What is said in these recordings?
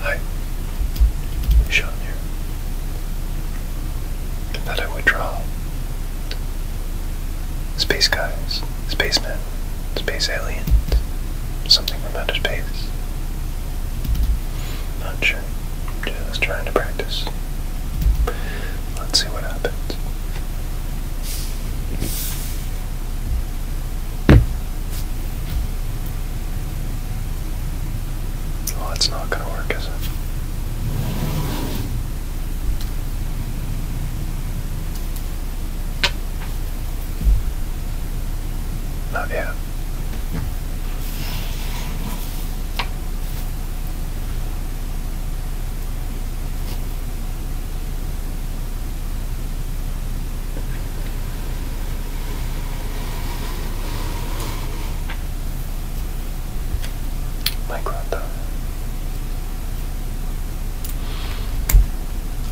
Hi, Sean here. That I would draw space guys, spacemen, space aliens, something from outer space. Not sure. Just trying to practice. Let's see what happens. Oh, it's not going to work, is it? Not yet. My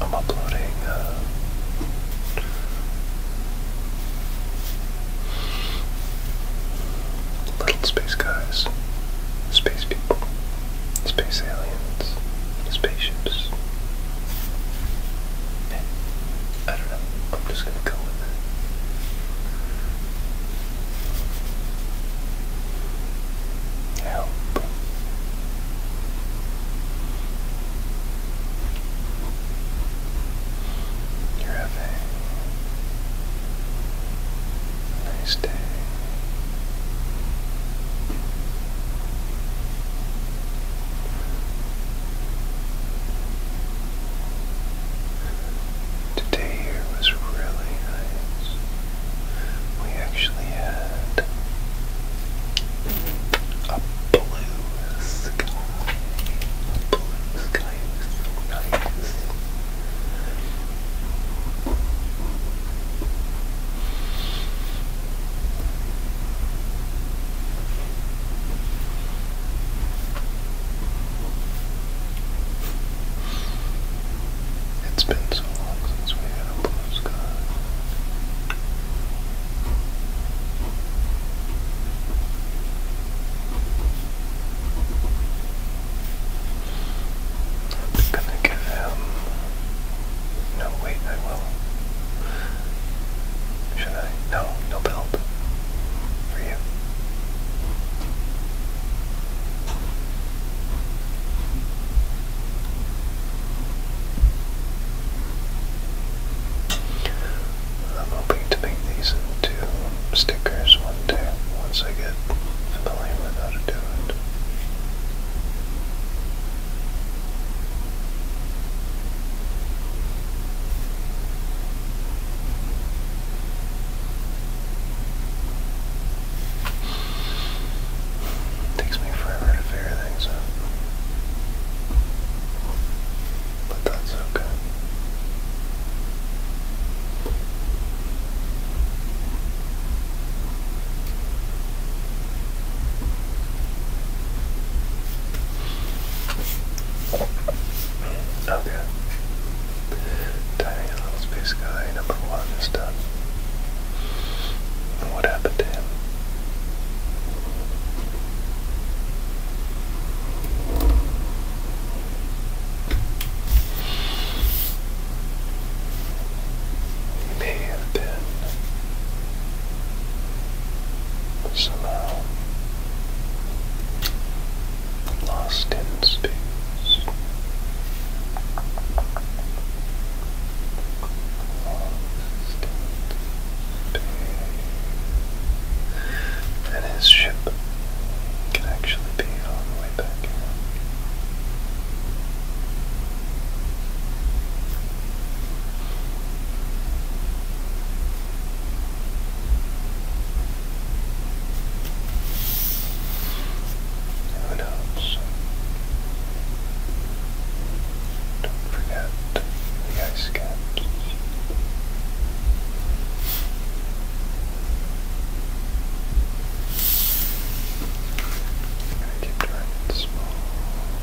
I'm uploading uh, little space guys, space people, space aliens, spaceships. I don't know. I'm just gonna go with it. Help. You're having nice day. Today here was really nice. We actually had a blue sky. blue sky was so nice. It's been so long since we had a blue sky. I'm gonna give him. Um, no, wait, I will. Should I? No, no belt. For you. I'm hoping to make these into stickers one day once I get familiar with how to do Takes me forever to figure things out. But that's okay. Okay. Tiny little guy number one is done. what happened to him? He may have been somehow lost in space. Lost in space. And his ship can actually be on the way back who knows? Don't forget the ice caps. I keep trying small.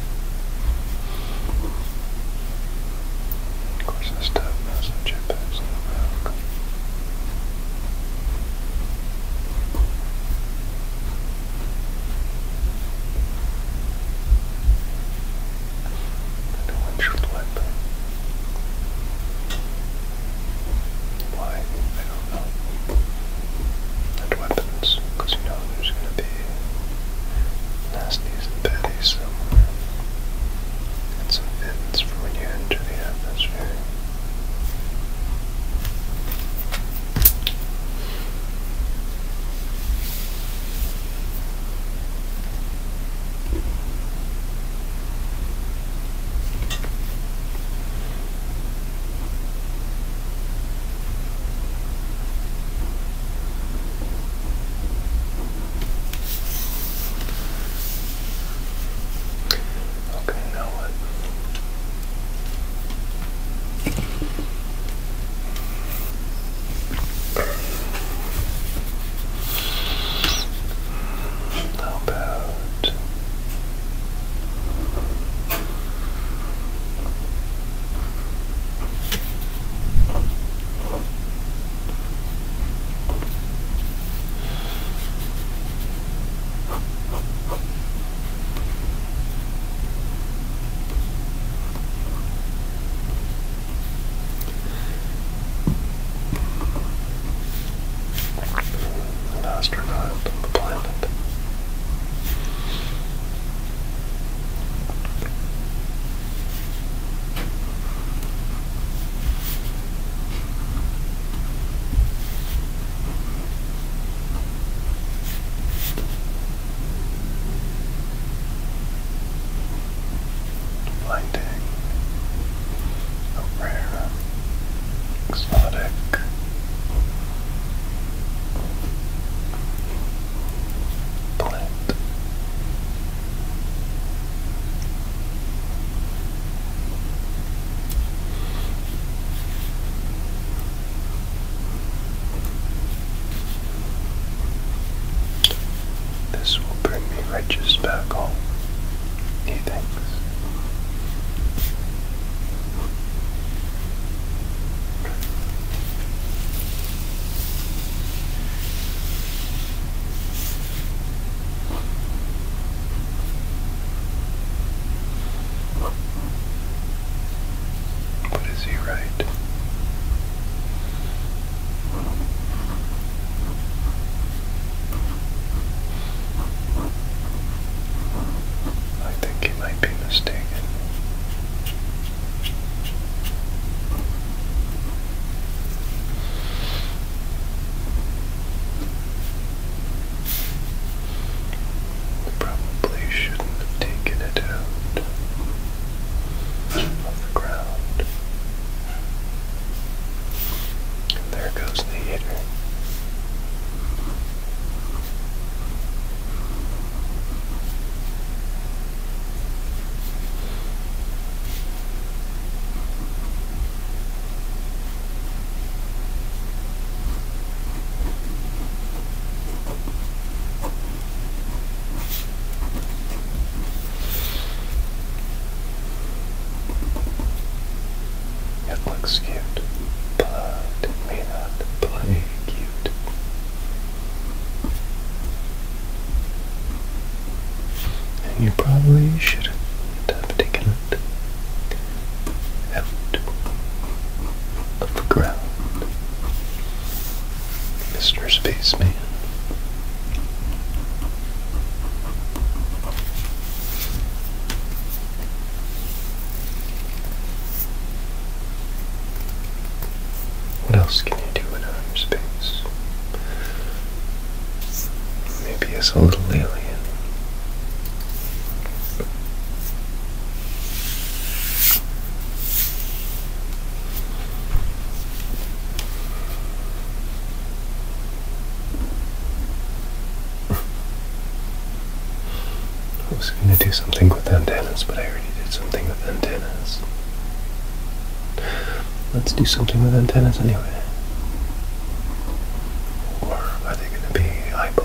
Of course, this tub has some jetpacks on the back. And a windshield Why? I don't know. And weapons, because you know there's going to be Nasty's and Betty's somewhere. And some fittings for when you enter the atmosphere. Okay, now what? How about an astronaut on the planet. Blinding, rare, exotic. Blend this will bring me riches back home, he thinks. What is he right? I think he might be mistaken. We probably shouldn't have taken it out of the ground. there goes the hitter. It looks cute, but it may not play cute valued. And you probably should have taken it out of the ground, Mr. Spaceman. What else can you do in outer space? Maybe as a little alien. I was going to do something with antennas, but I already did something with antennas. Let's do something with antennas anyway. Or are they going to be eyeballs?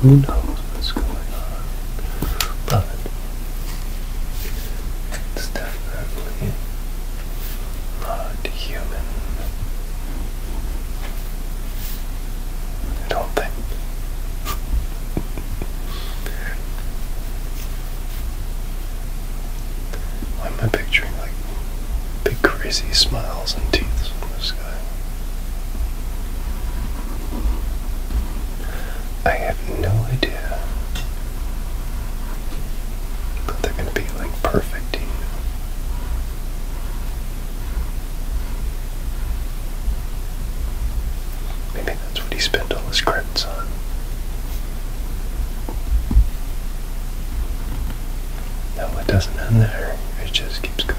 Who knows what's going on? But definitely not human. I don't think. Why am picturing like big crazy smiles and teeth from this guy? I have no idea. But they're gonna be like perfect, Maybe that's what he spent all his credits on. No, it doesn't end there. It just keeps going.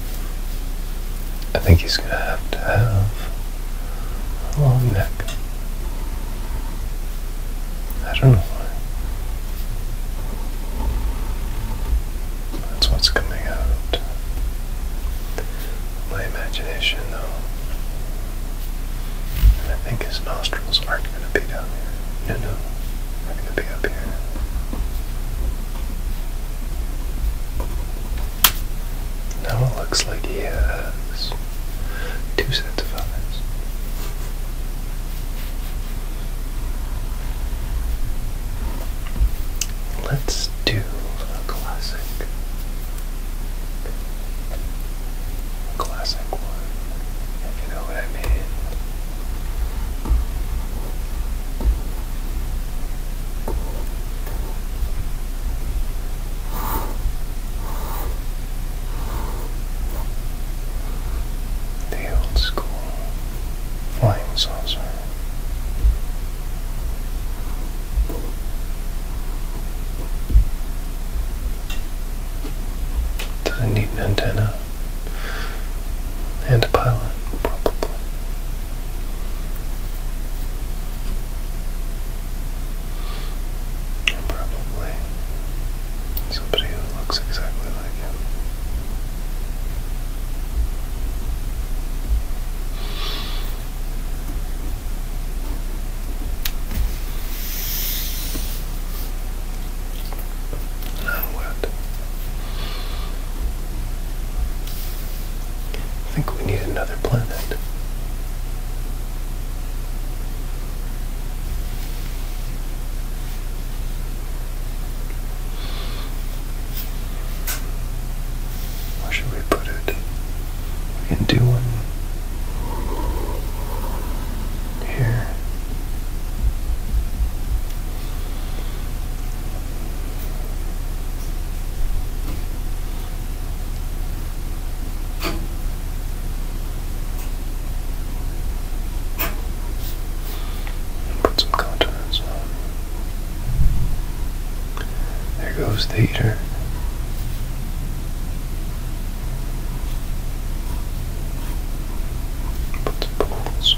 I think he's going to have to have a long neck. I don't know why. That's what's coming out. My imagination, though. And I think his nostrils aren't going to be down here. No, no. They're going to be up here. Now it looks like he has two sets of eyes. Let's do a classic, classic one, if you know what I mean. The old school flying saucer. Doesn't need an antenna and a pilot, probably probably somebody who looks exactly like him. Now what? I think we need another planet. Where should we put it? We can do one here. Put some contents on. There goes the heater. Put the poles.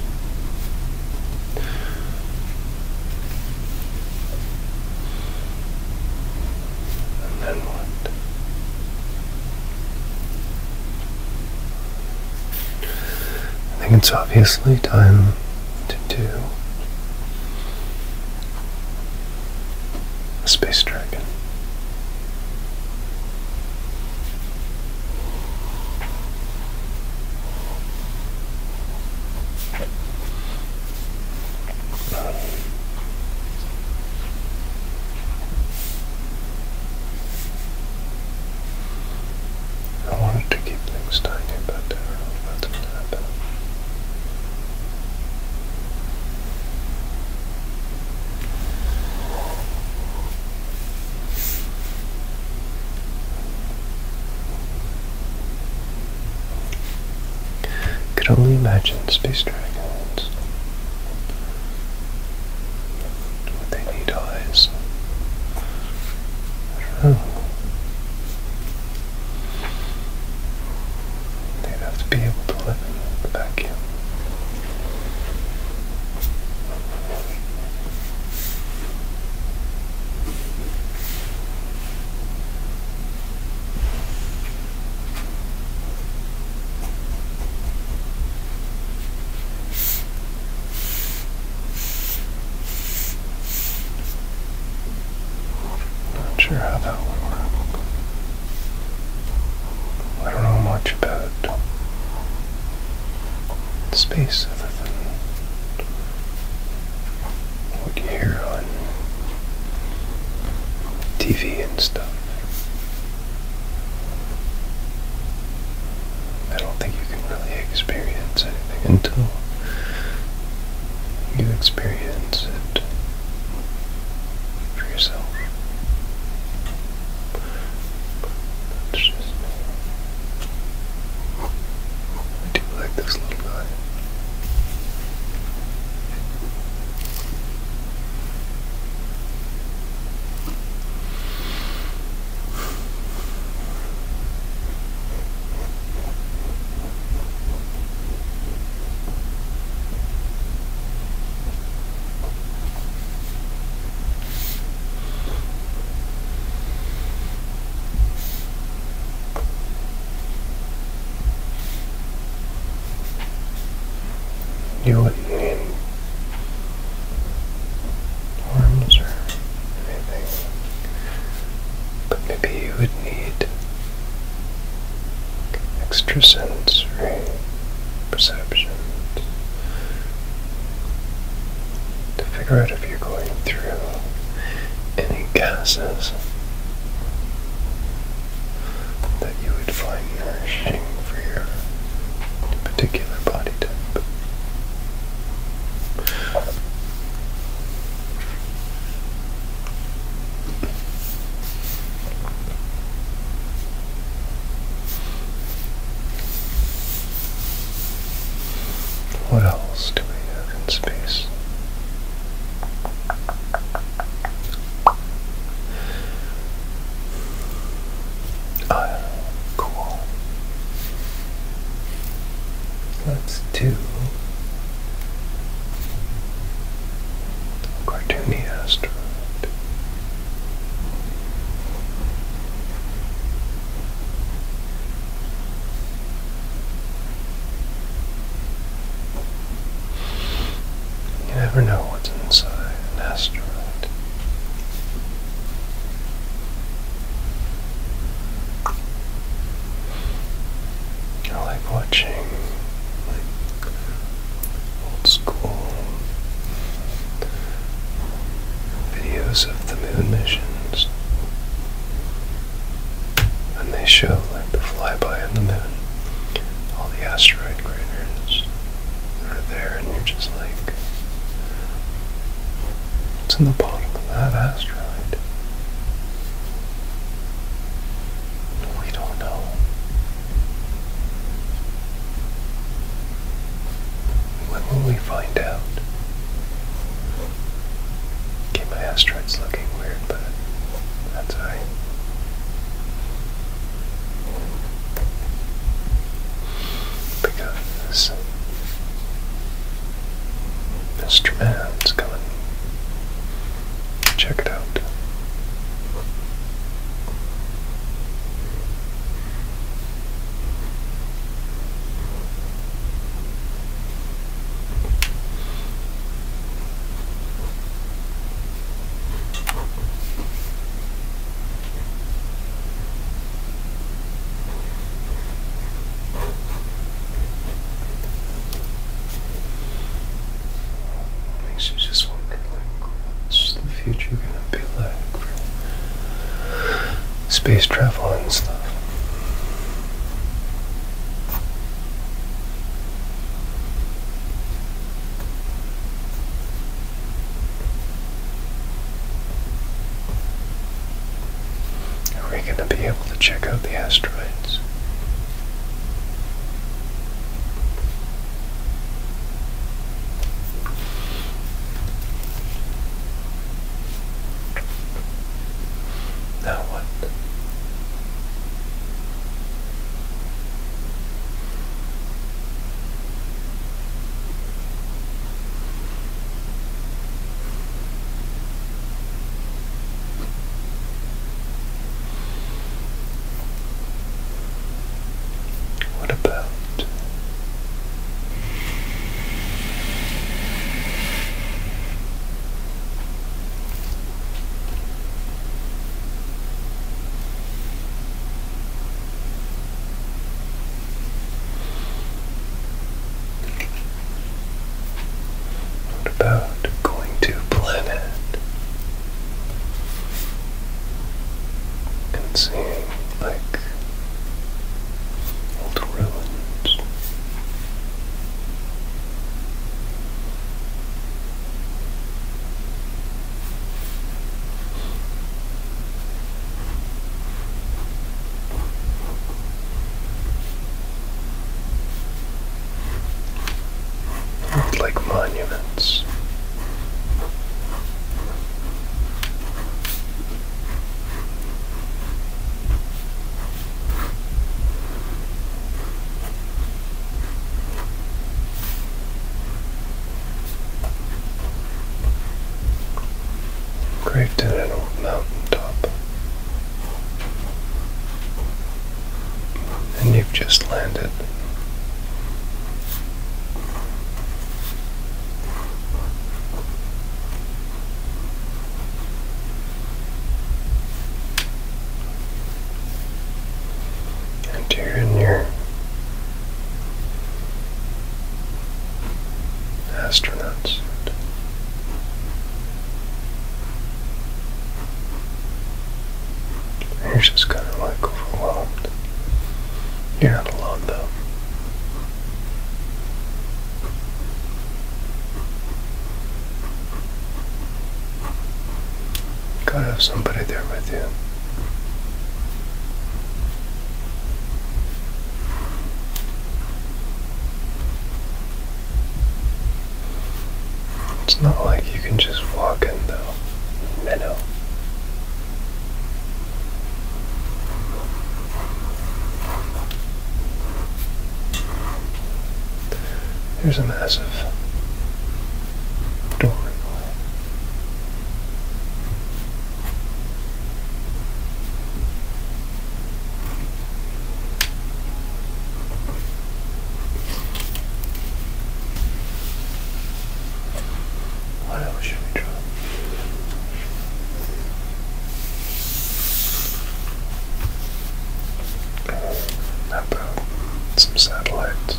And then what? I think it's obviously time to do a space dragon. I wanted to keep things tiny, but I uh, don't know if going to happen. Could only imagine space dragons. Would they need eyes? I They'd have to be able to live in the vacuum. Not sure how that would work. I don't know much about it space other than what you hear on TV and stuff. I don't think you can really experience anything until you experience it for yourself. That's just I do like this little guy. You wouldn't need arms or anything, but maybe you would need extrasensory perceptions to figure out if you're going through any gases that you would find nourishing for your particular body type. What else do we have in space? Uh, cool. Let's do a asteroid. You never know what's inside an asteroid. I like watching like old school videos of the moon missions. And they show like the flyby on the moon. All the asteroid craters that are there, and you're just like, what's in the bottom of that asteroid? We don't know. When will we find out? Okay, my asteroid's looking weird, but that's alright. Pick up this coming. check it out. Makes you just wonder like what's the future gonna be like space travel and stuff. Are we going to be able to check out the asteroids? Now what? What about what about going to planet and seeing like old ruins. And like monuments. Craved in an old mountaintop. And you've just landed. And here in your astronaut You're just kind of like overwhelmed. You're not alone though. Gotta have somebody there with you. It's not like you can just walk in though, minnow. Here's a massive door. What else should we try? How some satellites?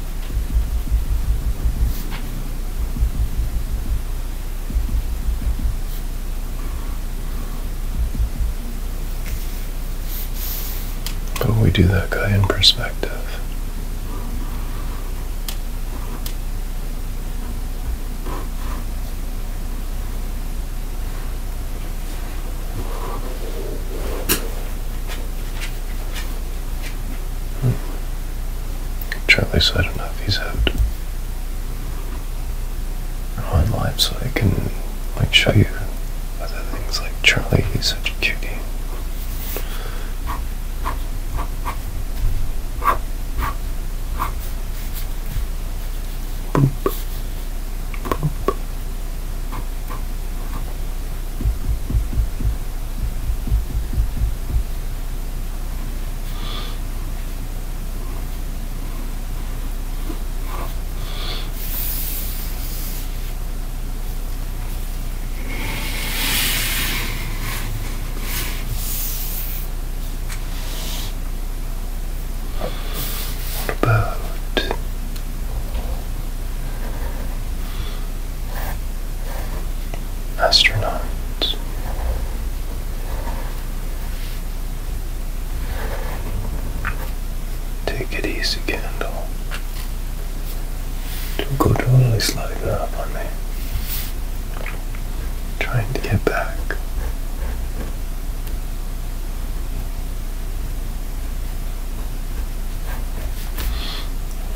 But we do that guy in perspective. Hmm. Charlie. So I don't know if he's out. I'm online so I can like show you other things like Charlie, he's such a cutie. Boop. Boop. What about astronauts. Take it easy, Candle. Don't go totally sliding up on me. trying to get back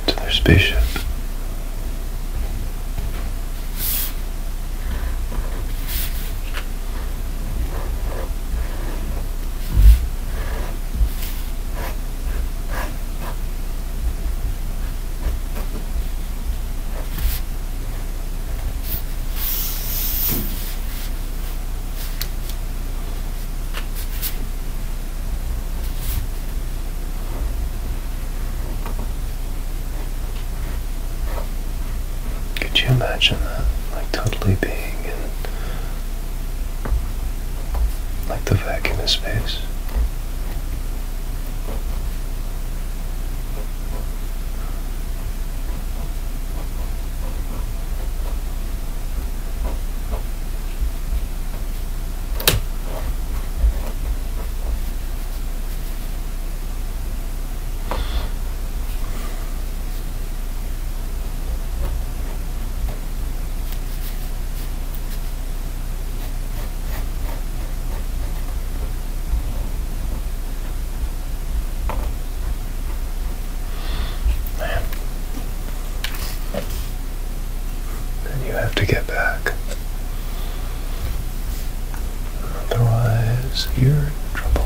to their spaceship. Could you imagine that? Like totally being in like the vacuum of space. Then you have to get back. Otherwise, you're in trouble.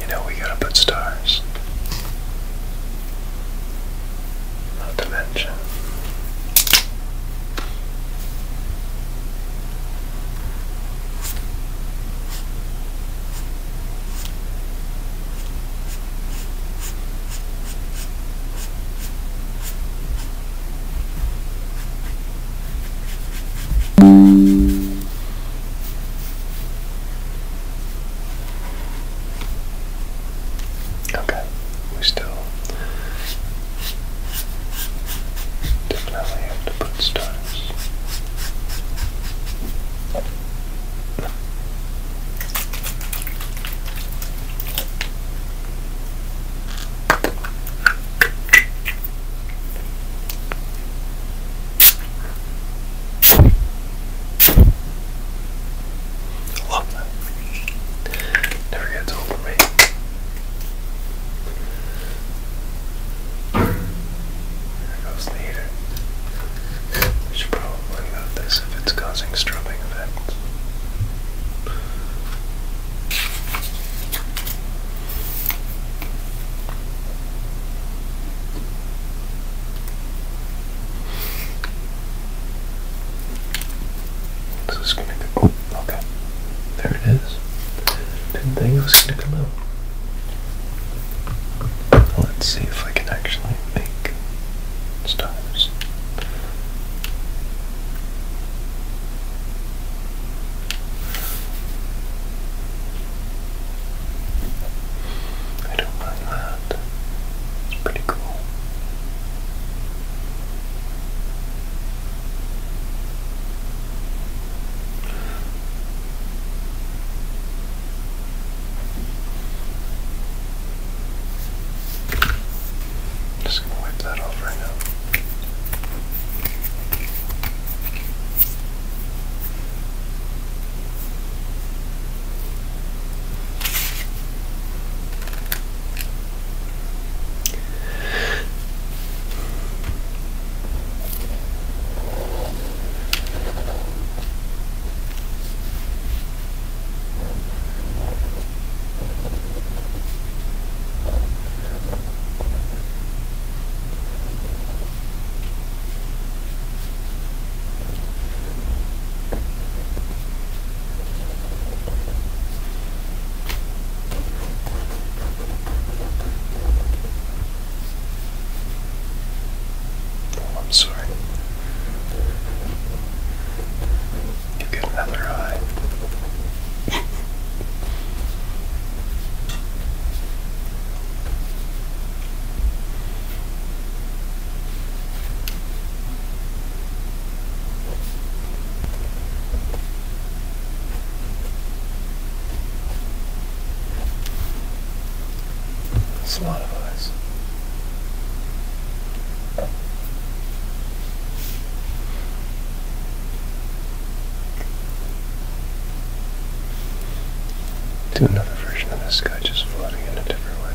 You know, we gotta put stars. Not to mention. Okay, we still definitely have to put stars. Love that. Never gets old for me. goes the should probably move this if it's causing strumming effects. So it's gonna go. Oh, okay. There it is. Didn't think out. Let's see if I can actually make stars. I don't mind that. It's pretty cool. I'm just going to wipe that off right now. Oh, I'm sorry. You get another eye. That's a lot of eyes. Do another version of this guy just floating in a different way.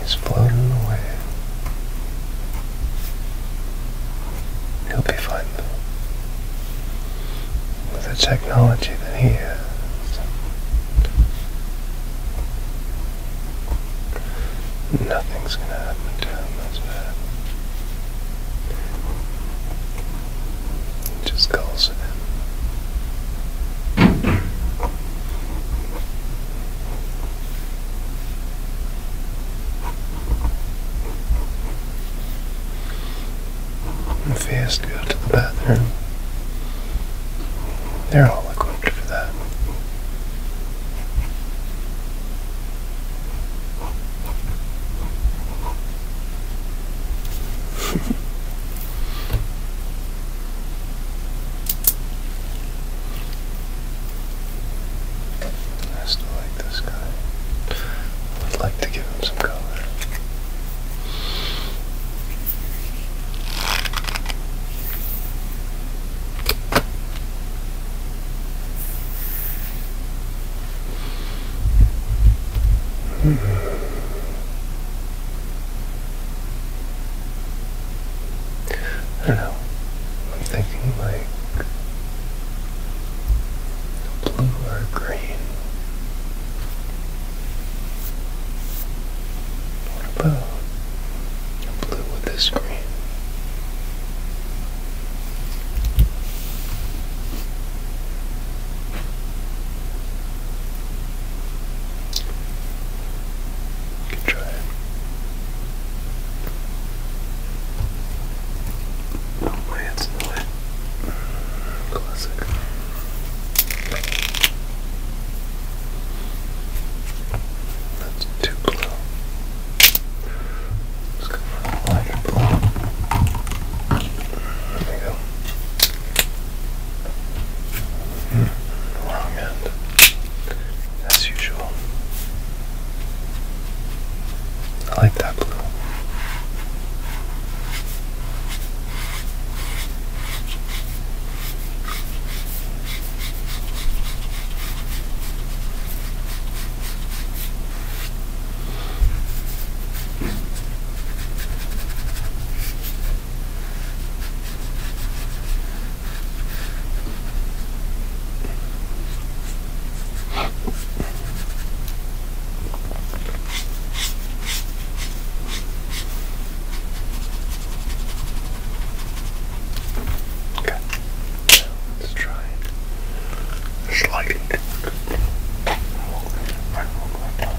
He's floating away. He'll be fine With the technology that he has. Nothing's gonna happen to him that's bad. He just calls it in. If he has go to the bathroom, they're all equipped for that. I still like this guy. I would like to give him some color. -hmm. I don't know. I'm thinking like blue or green. What blue with this green? You can try it. Oh, in the way. Mm, classic. That's too blue. Let's mm, go for a lighter blue. There we go. Mm, wrong end, as usual. I like that blue. Okay, so let's try it slightly. Right, right, right, right.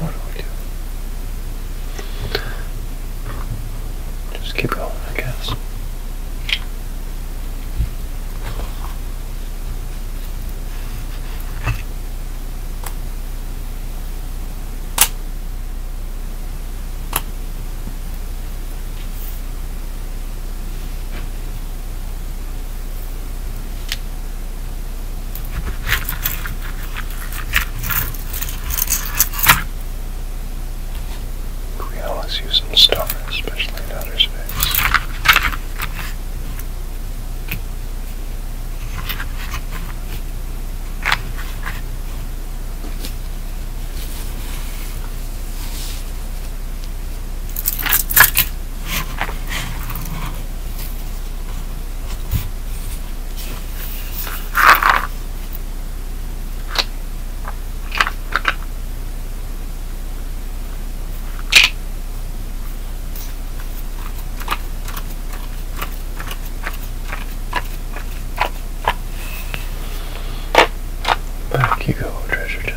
what do we do? Just keep going, I guess. We always use some stars, especially in outer space. Back you go, treasure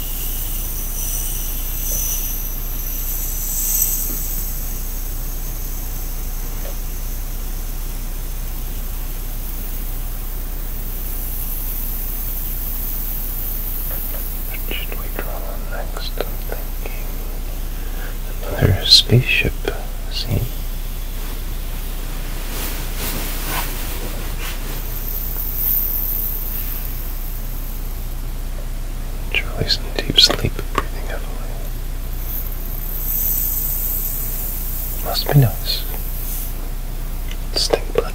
What should we draw next? I'm thinking another spaceship scene. Charlie's in deep sleep, breathing heavily. Must be nice. Stink blood.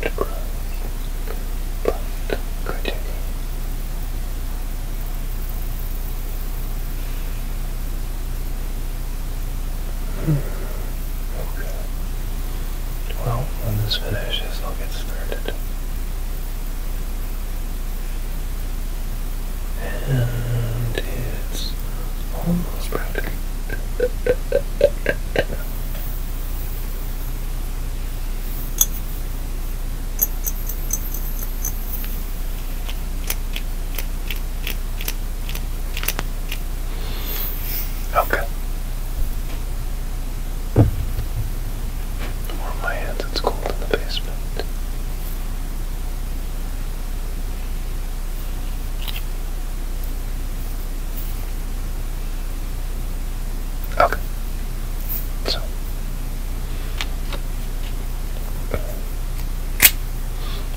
the but critically. Hmm. Okay. Well, when this finishes, I'll get started. And it's almost practically. Okay. Warm my hands, it's cold in the basement. Okay. So.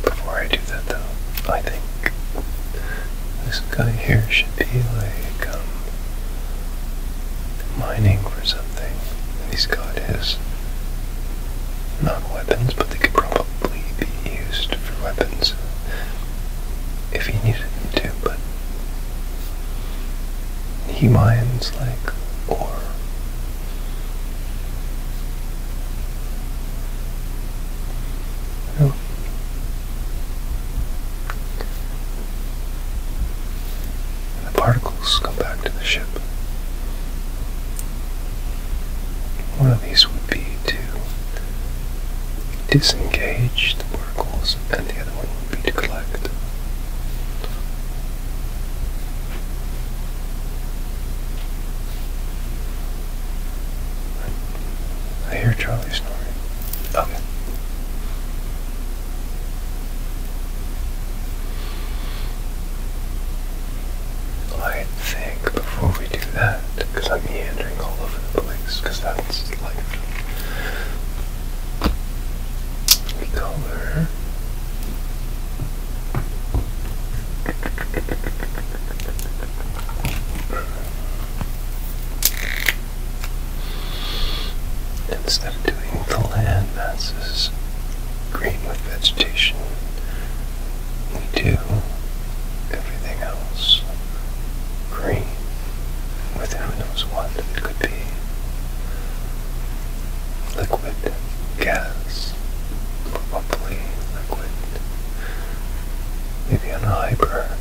Before I do that though, I think this guy here should be like um, mining for something. And he's got his not weapons, but they could probably be used for weapons if he needed me to, but he minds like or the particles come back to the ship. One of these would be to disengage the particles, and the other one will be to collect. I hear Charlie snoring. Okay. I before we do that, because I'm meandering all over the place, because that's life. We color. Instead of doing the land masses green with vegetation, we do everything else green with who knows what it could be liquid, gas, probably liquid, maybe an a hyper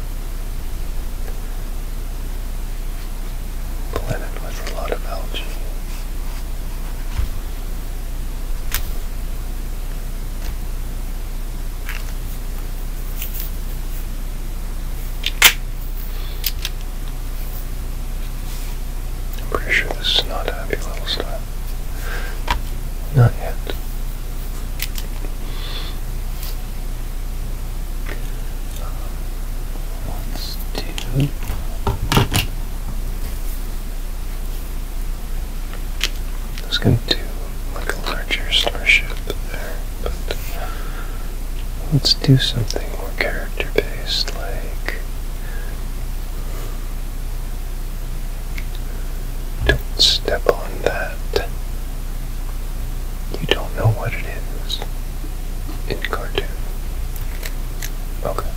planet with a lot of algae. I'm pretty sure this is not happy little stuff. Not yet. Let's um, I was going to do like a larger starship but let's do something more character based like don't step on that. You don't know what it is in cartoon. Okay.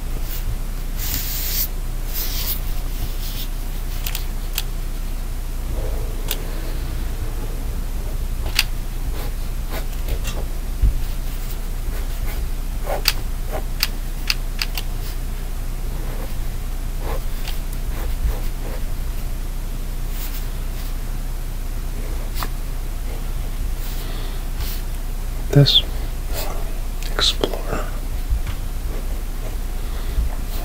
This explorer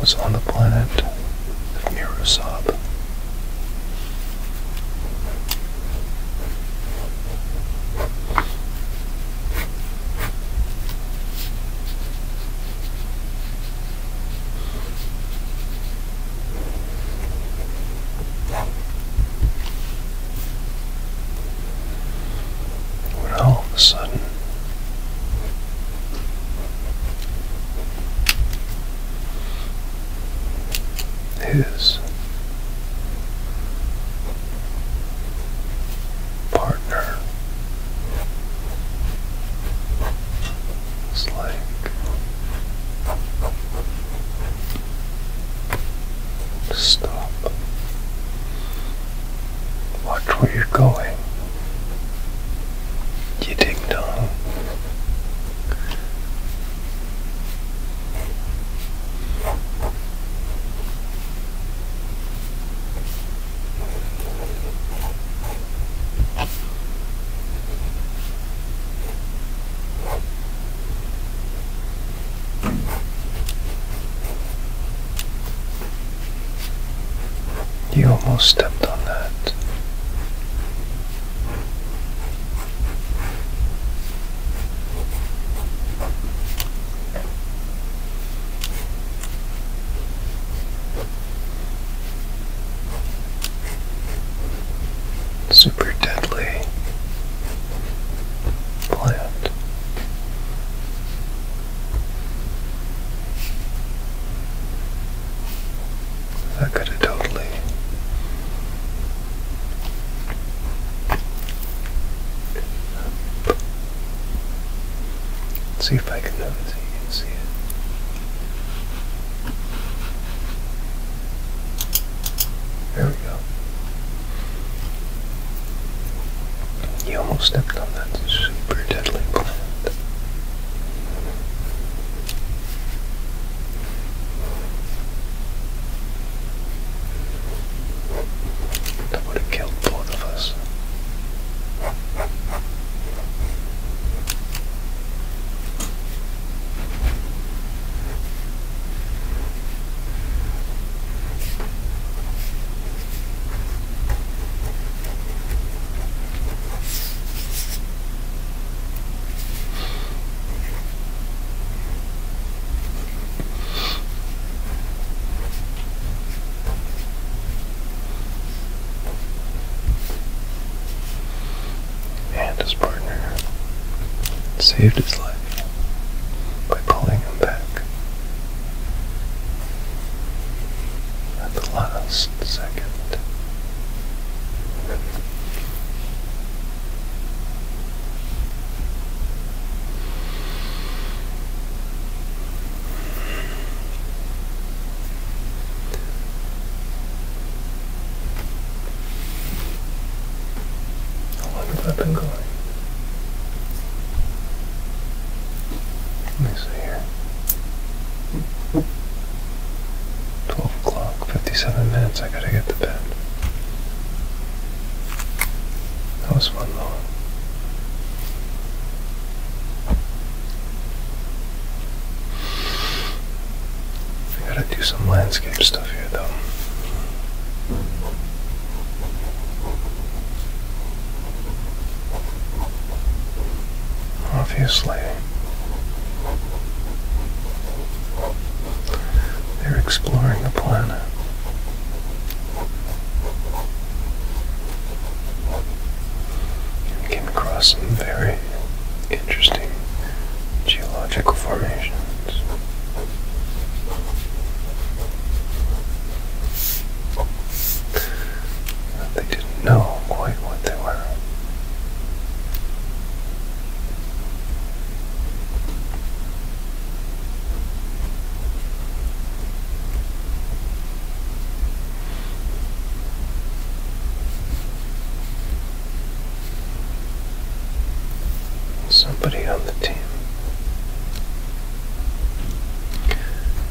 was on the planet the of Mirosab. When all of a sudden his partner is stop watch where you're going you ding dong. You almost stepped on that. Super deadly plant. That could have totally see if I can notice it. You can see it. There we go. You almost stepped on that super deadly plant. That would have killed both of us. And his partner saved his life by pulling him back. At the last, second. How long have I been Let me see here. Twelve o'clock, fifty-seven minutes. I gotta get to bed. That was one long. I gotta do some landscape stuff here, though. Obviously, they're exploring the planet. came across some very interesting geological formations. They didn't know quite what they were. Somebody on the team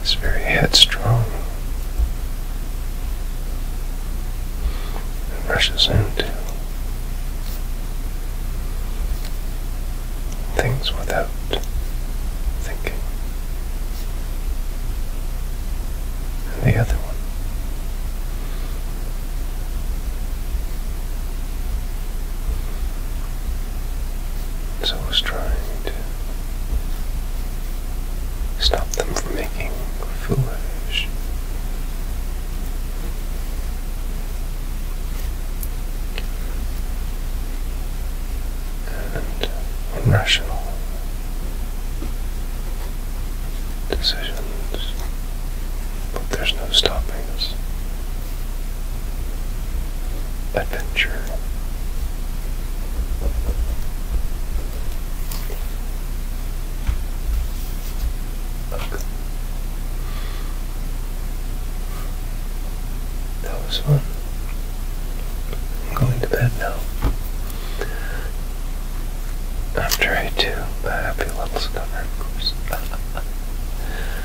is very headstrong it rushes into things without thinking. And the other one. So I Stop them from making foolish and irrational decisions. But there's no stopping us adventure. That was fun. I'm going to bed now. I'm tried to, a happy little cover, of course.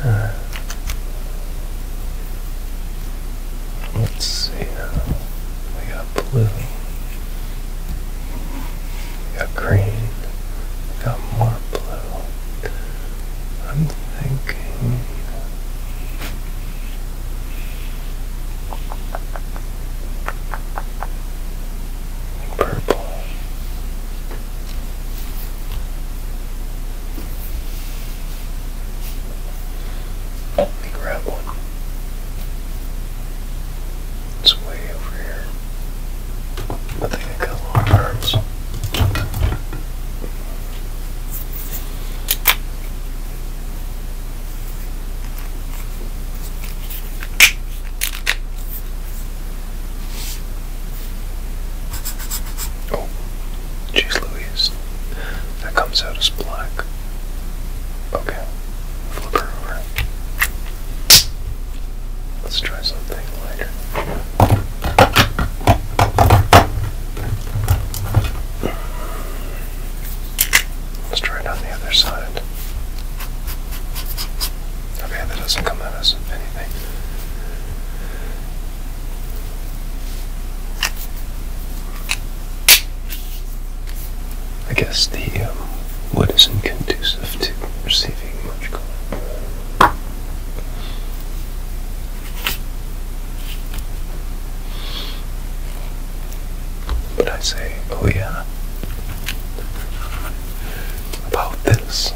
Uh, Let's see. Uh, we got blue. We got green. We got more blue. I'm thinking. Purple. Let me grab one. It's way over here. I think I got long arms. Oh, jeez Louise. That comes out as black. Okay, flip her over. Let's try something lighter. Let's try it on the other side. Okay, that doesn't come out as anything. I guess the um, wood isn't conducive to receiving much color. But I say, oh yeah, about this.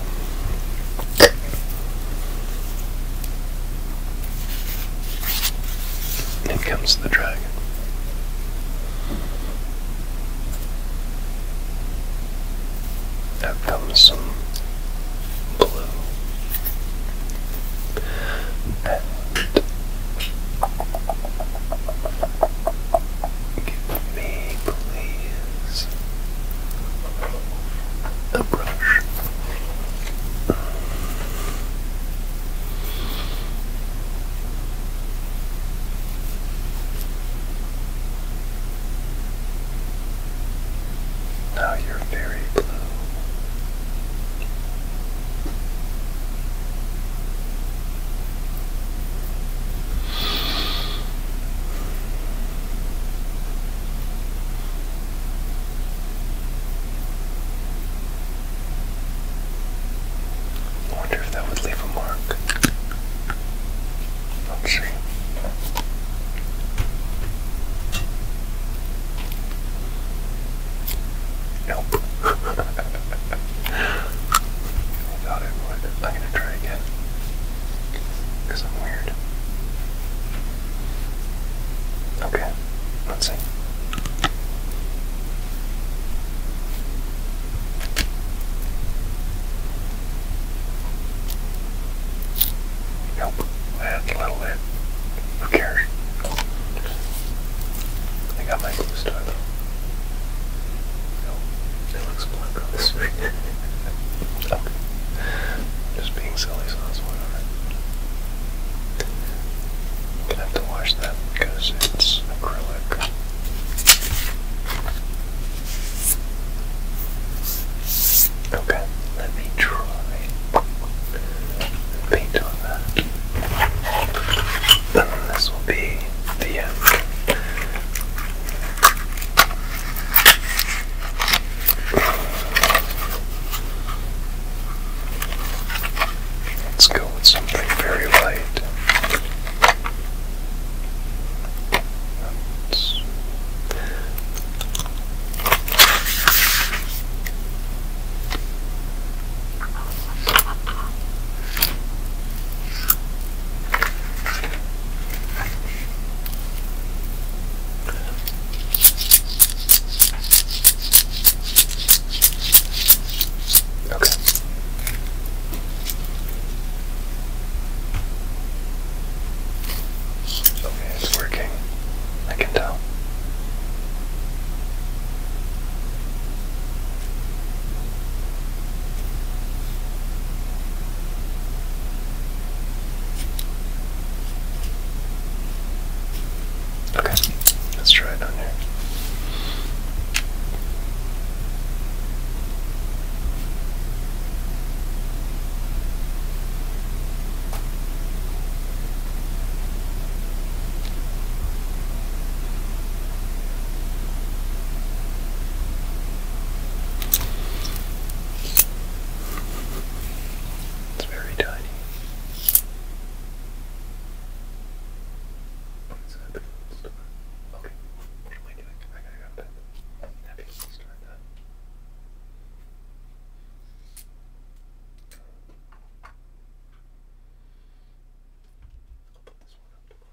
And in comes the dragon. Out comes some blue. give me, please, a brush. Now you're very blue. I wonder if that would leave a mark. Let's see. Nope. thought it would. I'm gonna try again. Because I'm weird. Okay, let's see. Nope, that's a little bit. Who cares? I got my blue star though. No, it looks black on this screen. okay. Just being silly sauce, so whatever. I'm gonna have to wash that because it's acrylic. Okay, let me try paint on that. And this will be the end. Let's go with something very light. That's Okay. Okay, it's working. I can tell. Okay, let's try it on here. It's very tiny. Okay. What am I doing? I gotta go to bed. I'm happy that. I'll put this one up tomorrow.